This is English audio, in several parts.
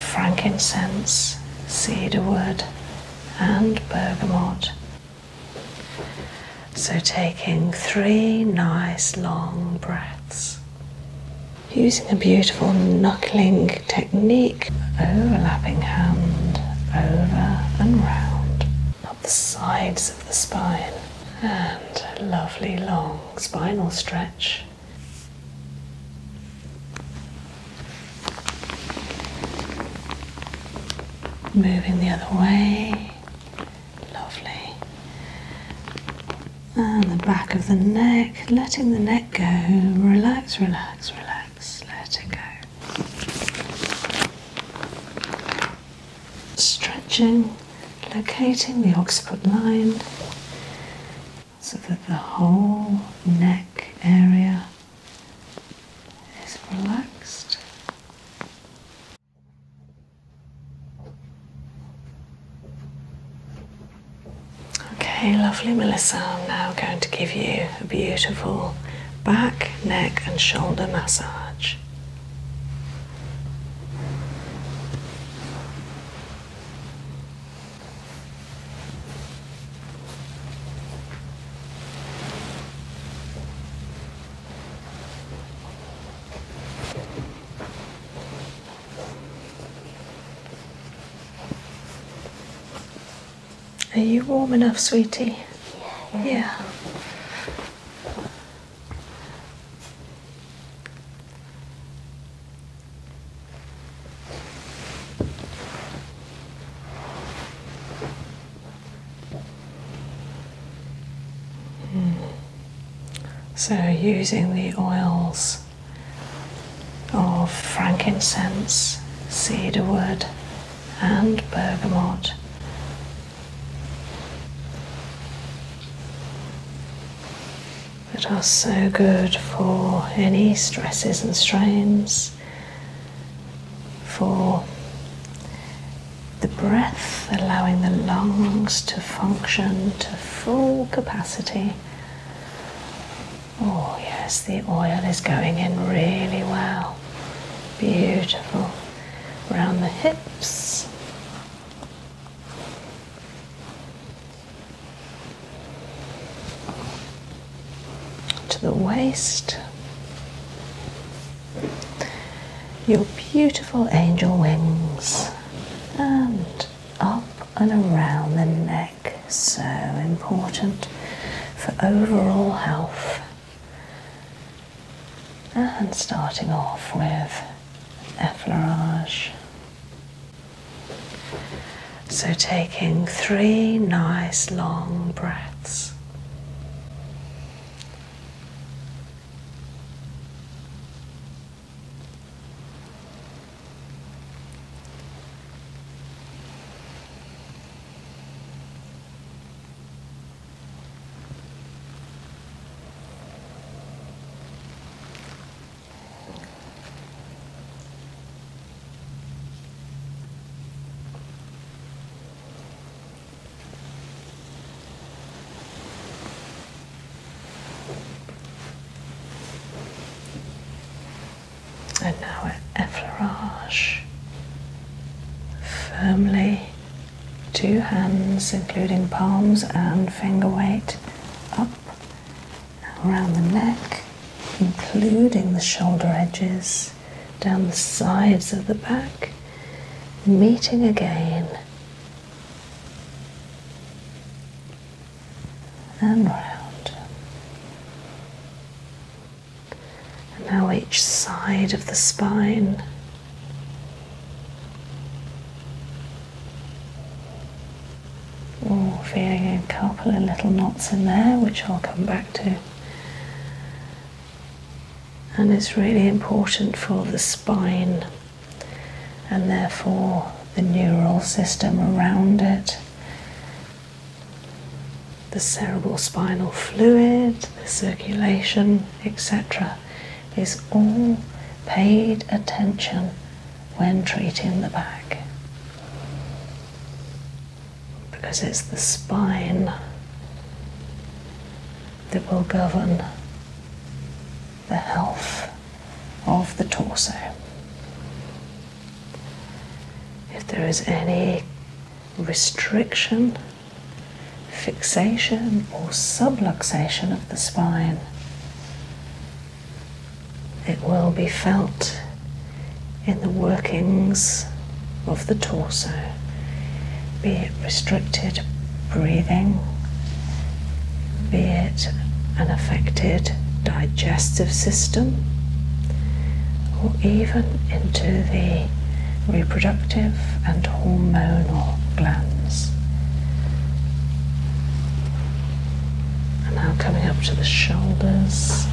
frankincense, cedarwood, and bergamot. So, taking three nice long breaths. Using a beautiful knuckling technique, overlapping hand over and round up the sides of the spine, and lovely long spinal stretch Moving the other way. Lovely. And the back of the neck, letting the neck go. Relax, relax, relax. Let it go. Stretching, locating the occiput line so that the whole neck area is relaxed. Okay, lovely Melissa. I'm now going to give you a beautiful back, neck, and shoulder massage. Are you warm enough, sweetie? Yeah. yeah. Hmm. So, using the oils of frankincense, cedarwood, and bergamot. That are so good for any stresses and strains, for the breath, allowing the lungs to function to full capacity. Oh, yes, the oil is going in really well. Beautiful. Round the hips to the waist. Your beautiful angel wings and up and around the neck, so important for overall health. And starting off with effleurage so, taking three nice long breaths. And now at effleurage, firmly, two hands, including palms and finger weight, up around the neck, including the shoulder edges, down the sides of the back, meeting again and round. And now each side of the spine. Ooh, feeling a couple of little knots in there, which I'll come back to. And it's really important for the spine and therefore the neural system around it, the cerebral spinal fluid, the circulation, etc., is all paid attention when treating the back because it's the spine that will govern the health of the torso. If there is any restriction, fixation, or subluxation of the spine, it will be felt in the workings of the torso, be it restricted breathing, be it an affected digestive system, or even into the reproductive and hormonal glands. And now coming up to the shoulders,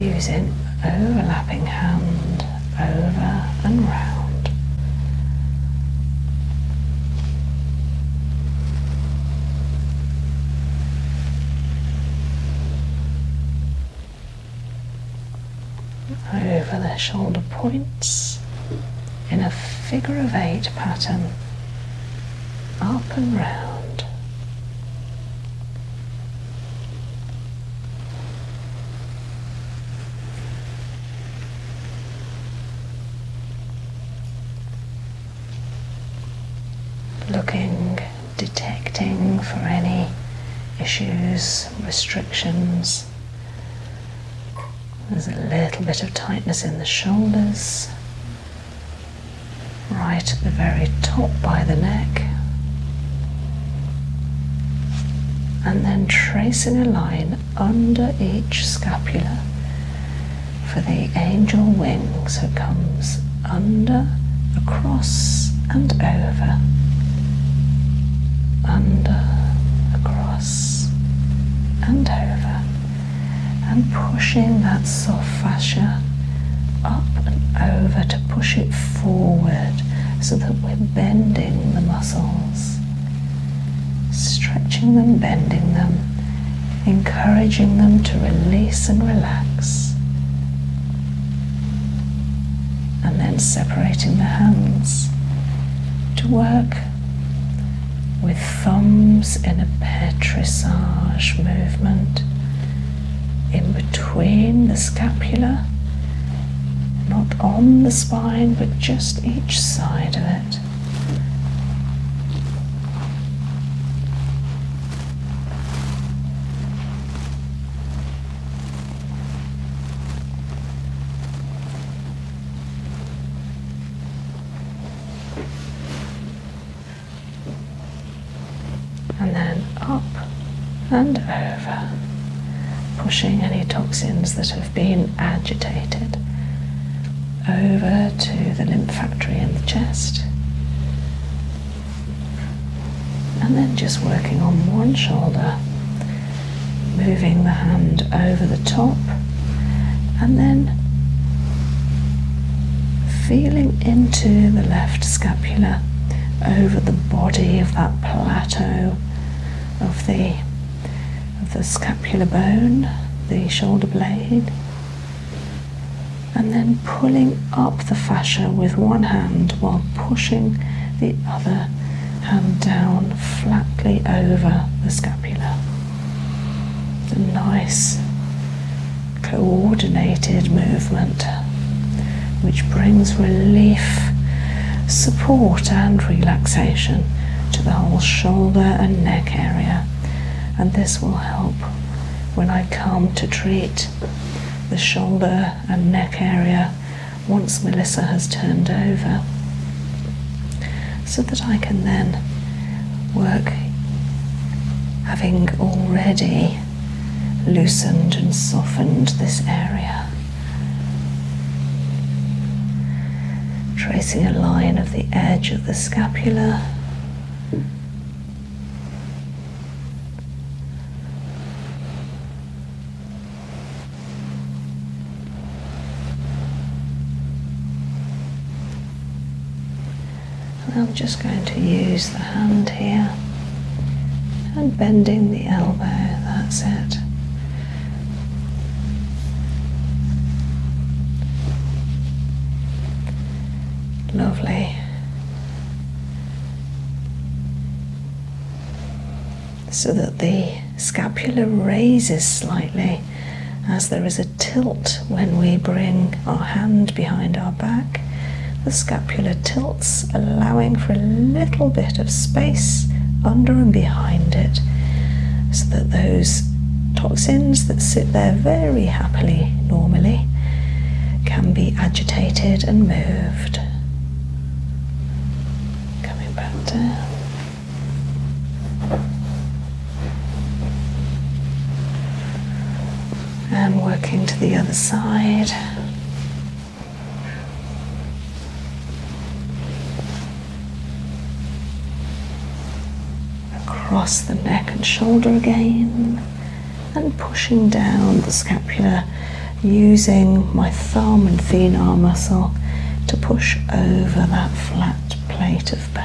using overlapping hand over and round. Over the shoulder points in a figure of eight pattern, up and round. Looking, detecting for any issues, restrictions. There's a little bit of tightness in the shoulders, right at the very top by the neck. And then tracing a line under each scapula for the angel wings. So it comes under, across, and over. Under, across, and over and pushing that soft fascia up and over to push it forward so that we're bending the muscles, stretching them, bending them, encouraging them to release and relax, and then separating the hands to work with thumbs in a petrissage movement in between the scapula, not on the spine but just each side of it and then up and over, pushing any toxins that have been agitated over to the lymph factory in the chest. And then just working on one shoulder, moving the hand over the top and then feeling into the left scapula over the body of that plateau of the of the scapular bone, the shoulder blade, and then pulling up the fascia with one hand while pushing the other hand down flatly over the scapula. The nice coordinated movement which brings relief, support, and relaxation to the whole shoulder and neck area. And this will help when I come to treat the shoulder and neck area once Melissa has turned over so that I can then work having already loosened and softened this area. Tracing a line of the edge of the scapula. I'm just going to use the hand here and bending the elbow, that's it. Lovely. So that the scapula raises slightly as there is a tilt when we bring our hand behind our back. The scapula tilts, allowing for a little bit of space under and behind it so that those toxins that sit there very happily normally can be agitated and moved. Coming back down. And working to the other side. Across the neck and shoulder again. And pushing down the scapula using my thumb and thenar muscle to push over that flat plate of bone.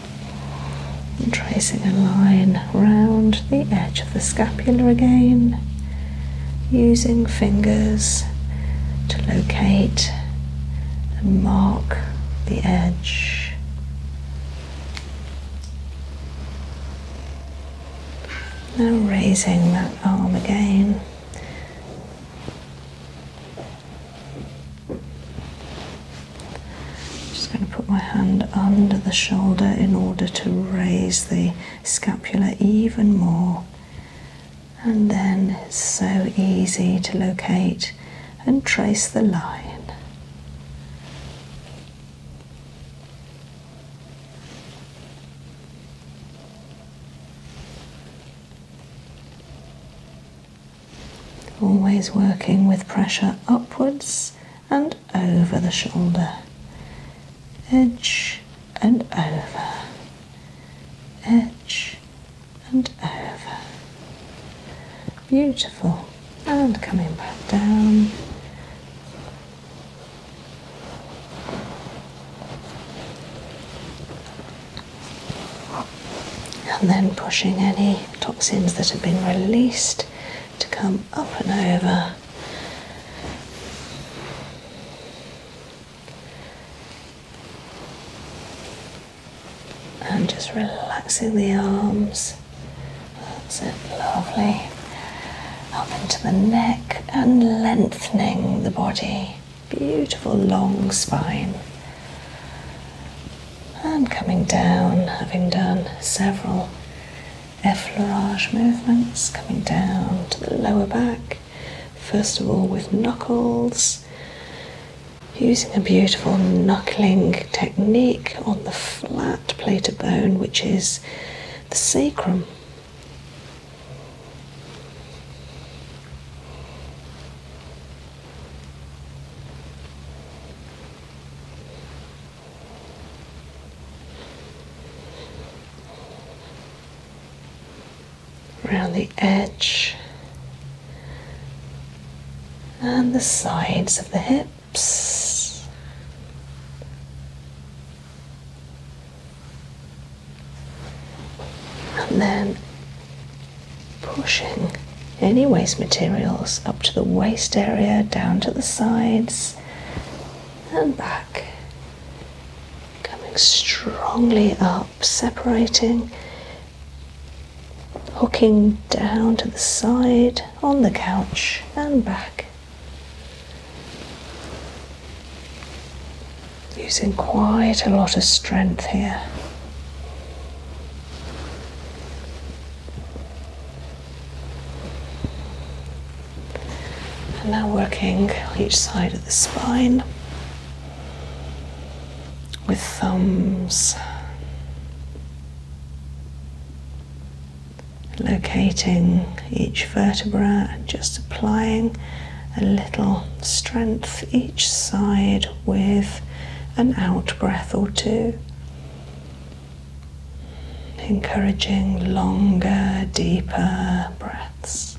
tracing a line round the edge of the scapula again, using fingers to locate and mark the edge. Now raising that arm again. I'm just going to put my hand under the shoulder in order to raise the scapula even more. And then it's so easy to locate and trace the line. Always working with pressure upwards and over the shoulder. Edge and over. Edge and over. Beautiful. And coming back down. And then pushing any toxins that have been released to come up and over. And just relaxing the arms. That's it, lovely. Up into the neck and lengthening the body. Beautiful long spine and coming down, having done several effleurage movements, coming down to the lower back, first of all with knuckles, using a beautiful knuckling technique on the flat plate of bone, which is the sacrum around the edge and the sides of the hips. And then pushing any waste materials up to the waist area, down to the sides and back. Coming strongly up, separating, hooking down to the side, on the couch and back. Using quite a lot of strength here. And now working each side of the spine with thumbs, locating each vertebra and just applying a little strength each side with an out breath or two encouraging longer, deeper breaths.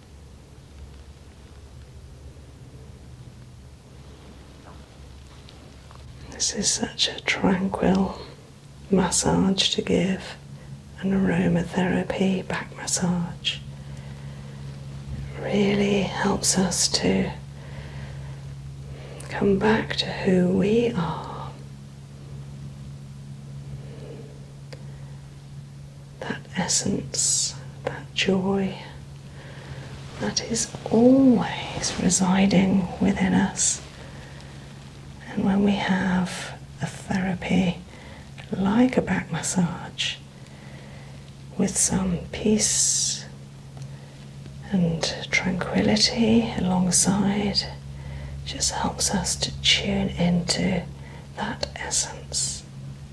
This is such a tranquil massage to give an aromatherapy back massage. really helps us to come back to who we are that essence, that joy that is always residing within us. And when we have a therapy like a back massage with some peace and tranquility alongside, just helps us to tune into that essence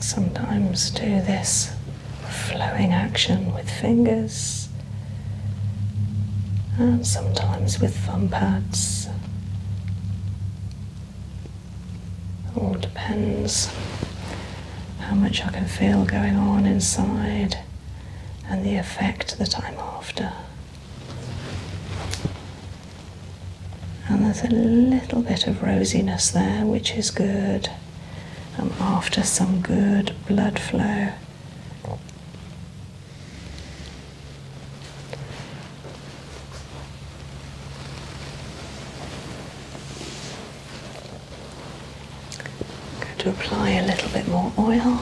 Sometimes do this flowing action with fingers and sometimes with thumb pads. All depends how much I can feel going on inside and the effect that I'm after. And there's a little bit of rosiness there, which is good. I'm after some good blood flow. I'm going to apply a little bit more oil.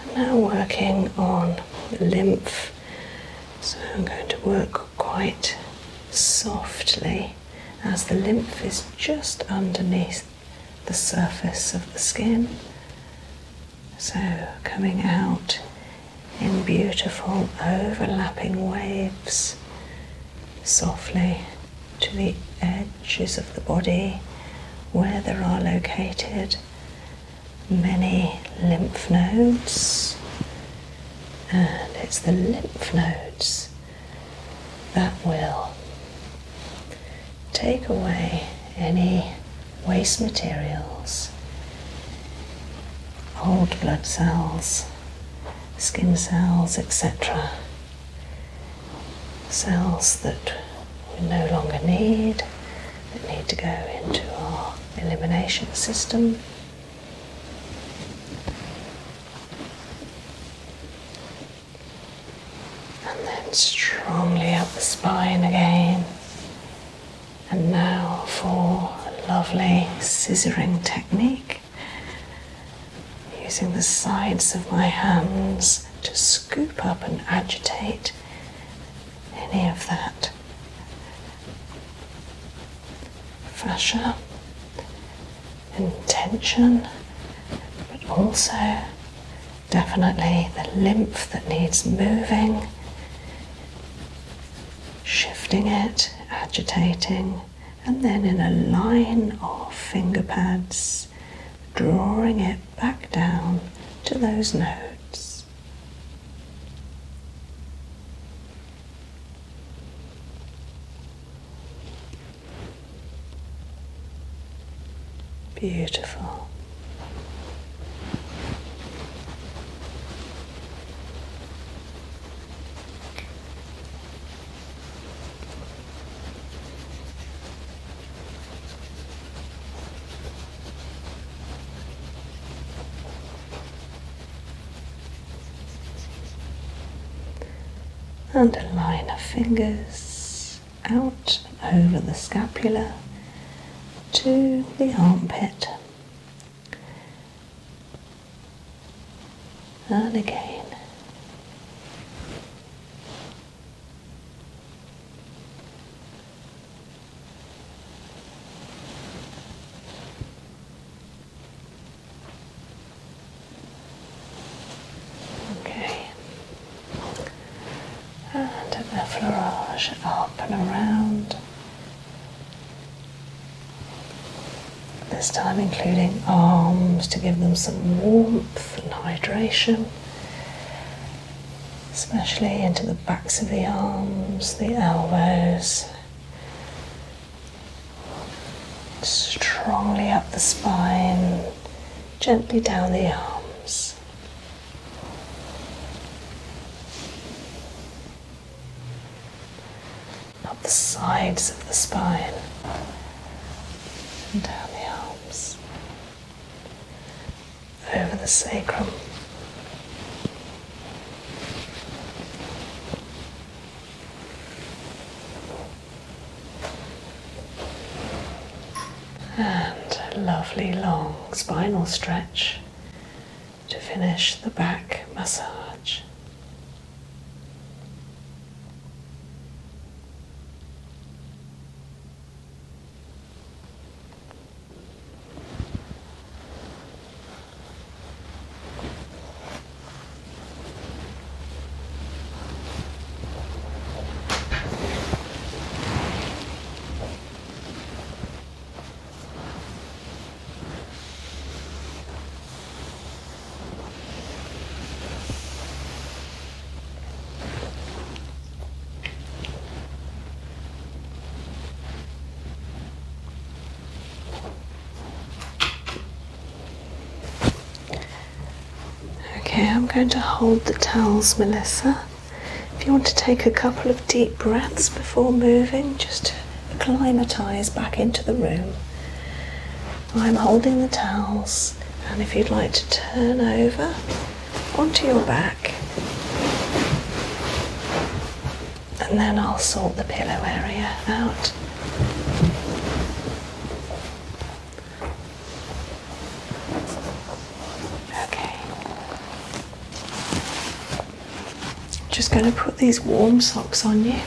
I'm now working on lymph. So I'm going to work quite softly as the lymph is just underneath the surface of the skin. So coming out in beautiful overlapping waves softly to the edges of the body where there are located many lymph nodes. And it's the lymph nodes that will take away any waste materials, old blood cells, skin cells, etc. Cells that we no longer need, that need to go into our elimination system. And then strongly up the spine again, and now for a lovely scissoring technique using the sides of my hands to scoop up and agitate any of that fascia intention, but also definitely the lymph that needs moving shifting it, agitating, and then in a line of finger pads, drawing it back down to those notes. Beautiful and a line of fingers out over the scapula to the armpit and again. Okay, and the flourage up and around this time, including arms to give them some warmth and hydration, especially into the backs of the arms, the elbows, strongly up the spine, gently down the arms up the sides of the spine and down the arms, over the sacrum. And a lovely long spinal stretch to finish the back massage. Okay, I'm going to hold the towels, Melissa. If you want to take a couple of deep breaths before moving, just acclimatise back into the room. I'm holding the towels, and if you'd like to turn over onto your back, and then I'll sort the pillow area out. Okay. Just going to put these warm socks on you.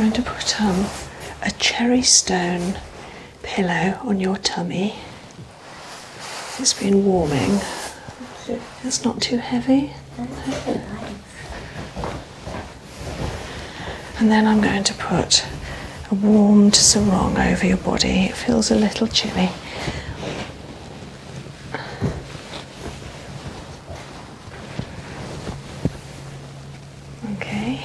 I'm going to put on um, a cherry stone pillow on your tummy. It's been warming. It's not too heavy. And then I'm going to put a warm sarong over your body. It feels a little chilly. Okay.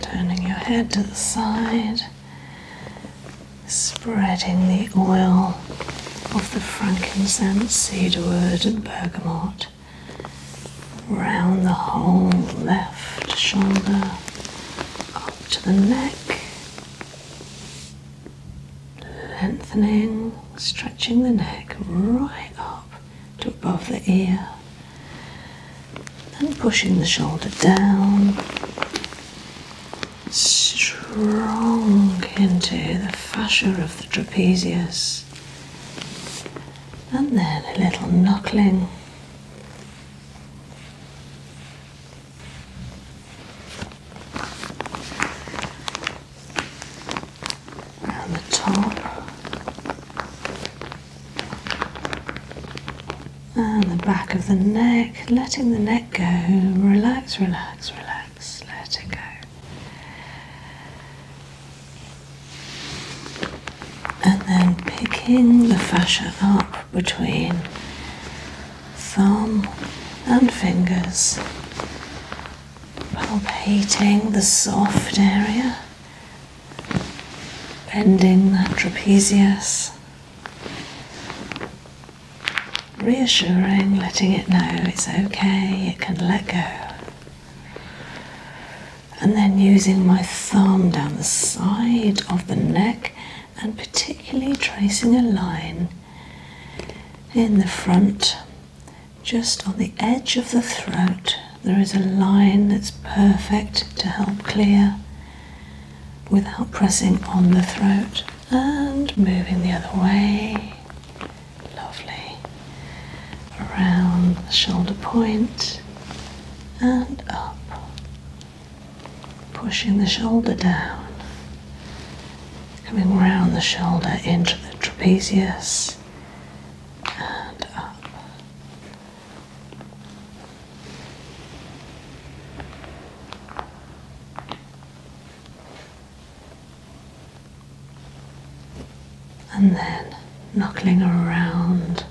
Turning your head to the side, spreading the oil of the frankincense, cedarwood, and bergamot around the whole left shoulder, up to the neck, lengthening, stretching the neck right up to above the ear then pushing the shoulder down strong into the fascia of the trapezius and then a little knuckling around the top and the back of the neck, letting the neck go. Relax, relax, relax, let it go. And then picking the fascia up between thumb and fingers palpating the soft area, bending that trapezius, reassuring, letting it know it's okay, it can let go. And then using my thumb down the side of the neck and particularly tracing a line in the front just on the edge of the throat, there is a line that's perfect to help clear without pressing on the throat. And moving the other way. Lovely. Around the shoulder point and up. Pushing the shoulder down. Coming round the shoulder into the trapezius and up. Uh, and then knuckling around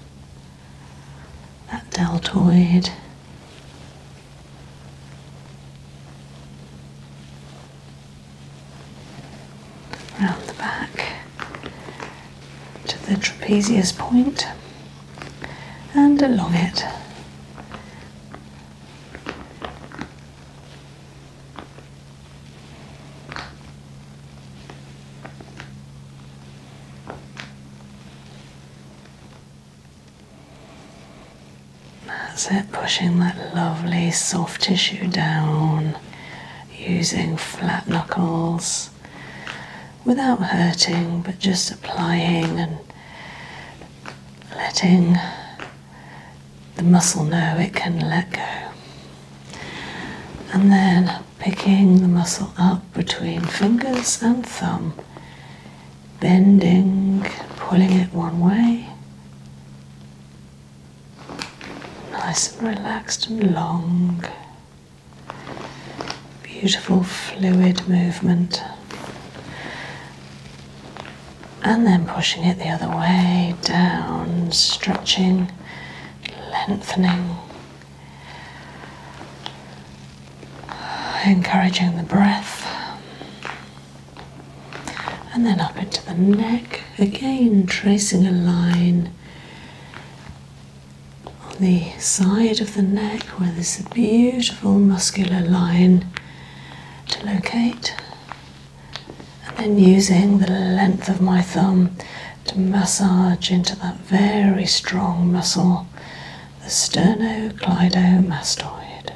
that deltoid round the back to the trapezius point and along it. That's it, pushing that lovely soft tissue down using flat knuckles without hurting, but just applying and letting the muscle know it can let go. And then picking the muscle up between fingers and thumb, bending, pulling it one way, Nice and relaxed and long. Beautiful fluid movement. And then pushing it the other way, down, stretching, lengthening. Encouraging the breath and then up into the neck again tracing a line on the side of the neck where there's a beautiful muscular line to locate and then using the length of my thumb to massage into that very strong muscle the sternocleidomastoid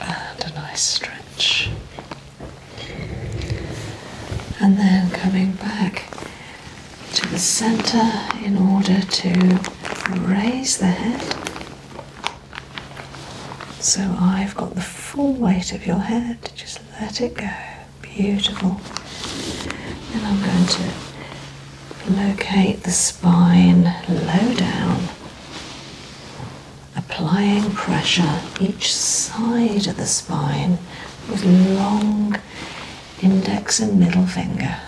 and a nice stretch. And then coming back to the center in order to raise the head so I've got the full weight of your head, just let it go. Beautiful. And I'm going to locate the spine low down, applying pressure each side of the spine with long index and middle finger.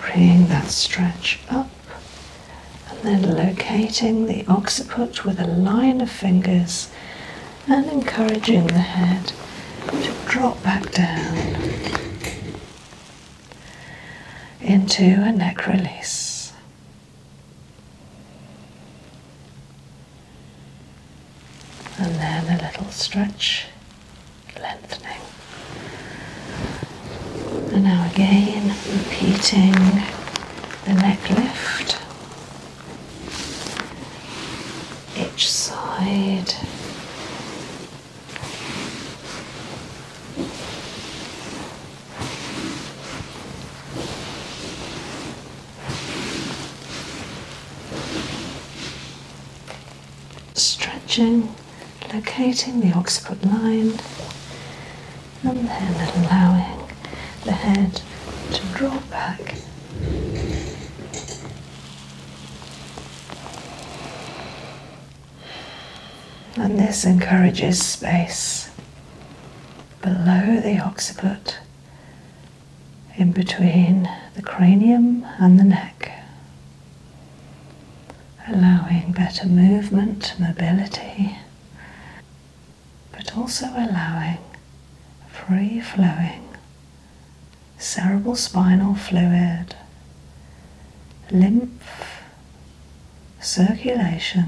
Bringing that stretch up and then locating the occiput with a line of fingers and encouraging the head to drop back down into a neck release. And then a little stretch lengthening. And now again, repeating the neck lift. Each side stretching, locating the occiput line, and then allowing the head to draw back. And this encourages space below the occiput, in between the cranium and the neck allowing better movement, mobility, but also allowing free flowing cerebral spinal fluid, lymph, circulation,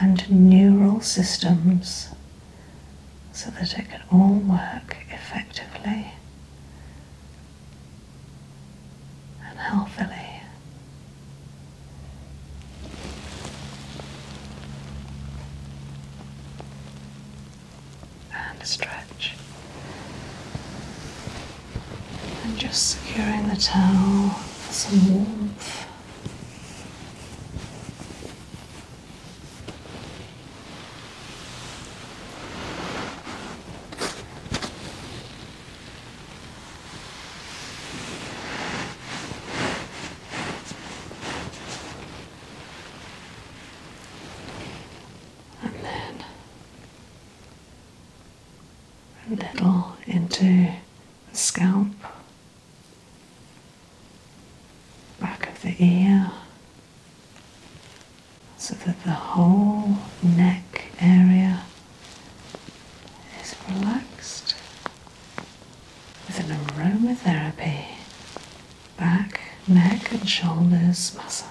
and neural systems so that it can all work effectively and healthily. And stretch. And just securing the towel for some warmth and then a little into the scalp, back of the ear so that the whole neck area is relaxed with an aromatherapy back, neck, and shoulders massage.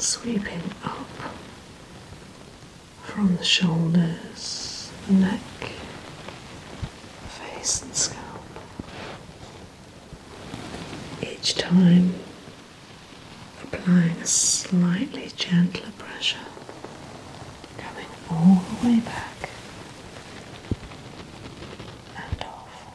Sweeping up from the shoulders, neck, face, and scalp. Each time applying a slightly gentler pressure, coming all the way back and off.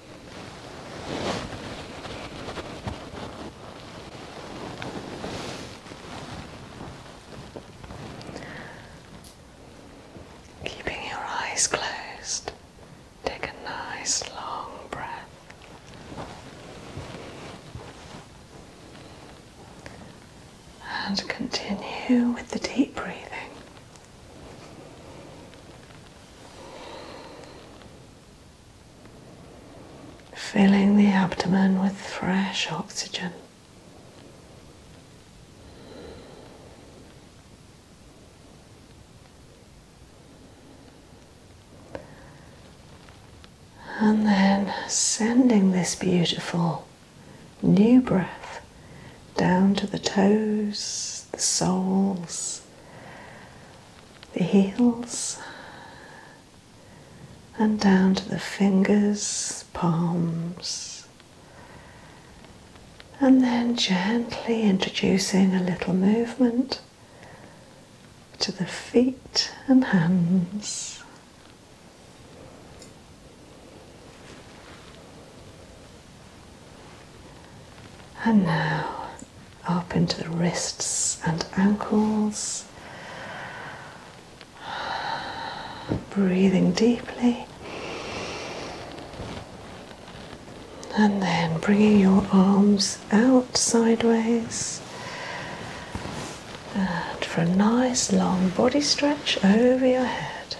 Keeping your eyes closed, take a nice long breath. And continue with the deep breathing filling the abdomen with fresh oxygen. And then sending this beautiful new breath down to the toes, the soles, the heels, and down to the fingers, palms, and then gently introducing a little movement to the feet and hands. And now up into the wrists and ankles. Breathing deeply. And then bringing your arms out sideways. And for a nice long body stretch over your head.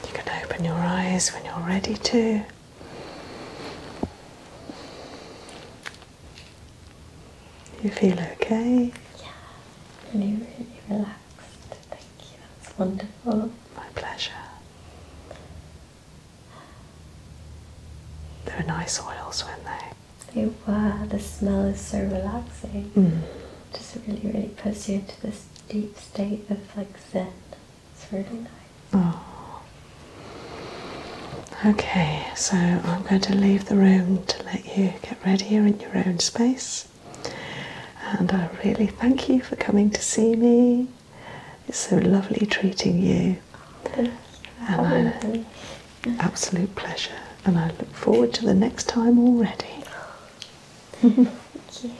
You can open your eyes when you're ready to. You feel okay? Yeah, really, really relaxed relaxed. Thank you. That's wonderful. My pleasure. They are nice oils, weren't they? They were. The smell is so relaxing. Mm. Just really, really puts you into this deep state of like zen. It's really nice. Oh. Okay, so I'm going to leave the room to let you get ready. you in your own space. And I really thank you for coming to see me. It's so lovely treating you. And absolute pleasure. And I look forward to the next time already. thank you.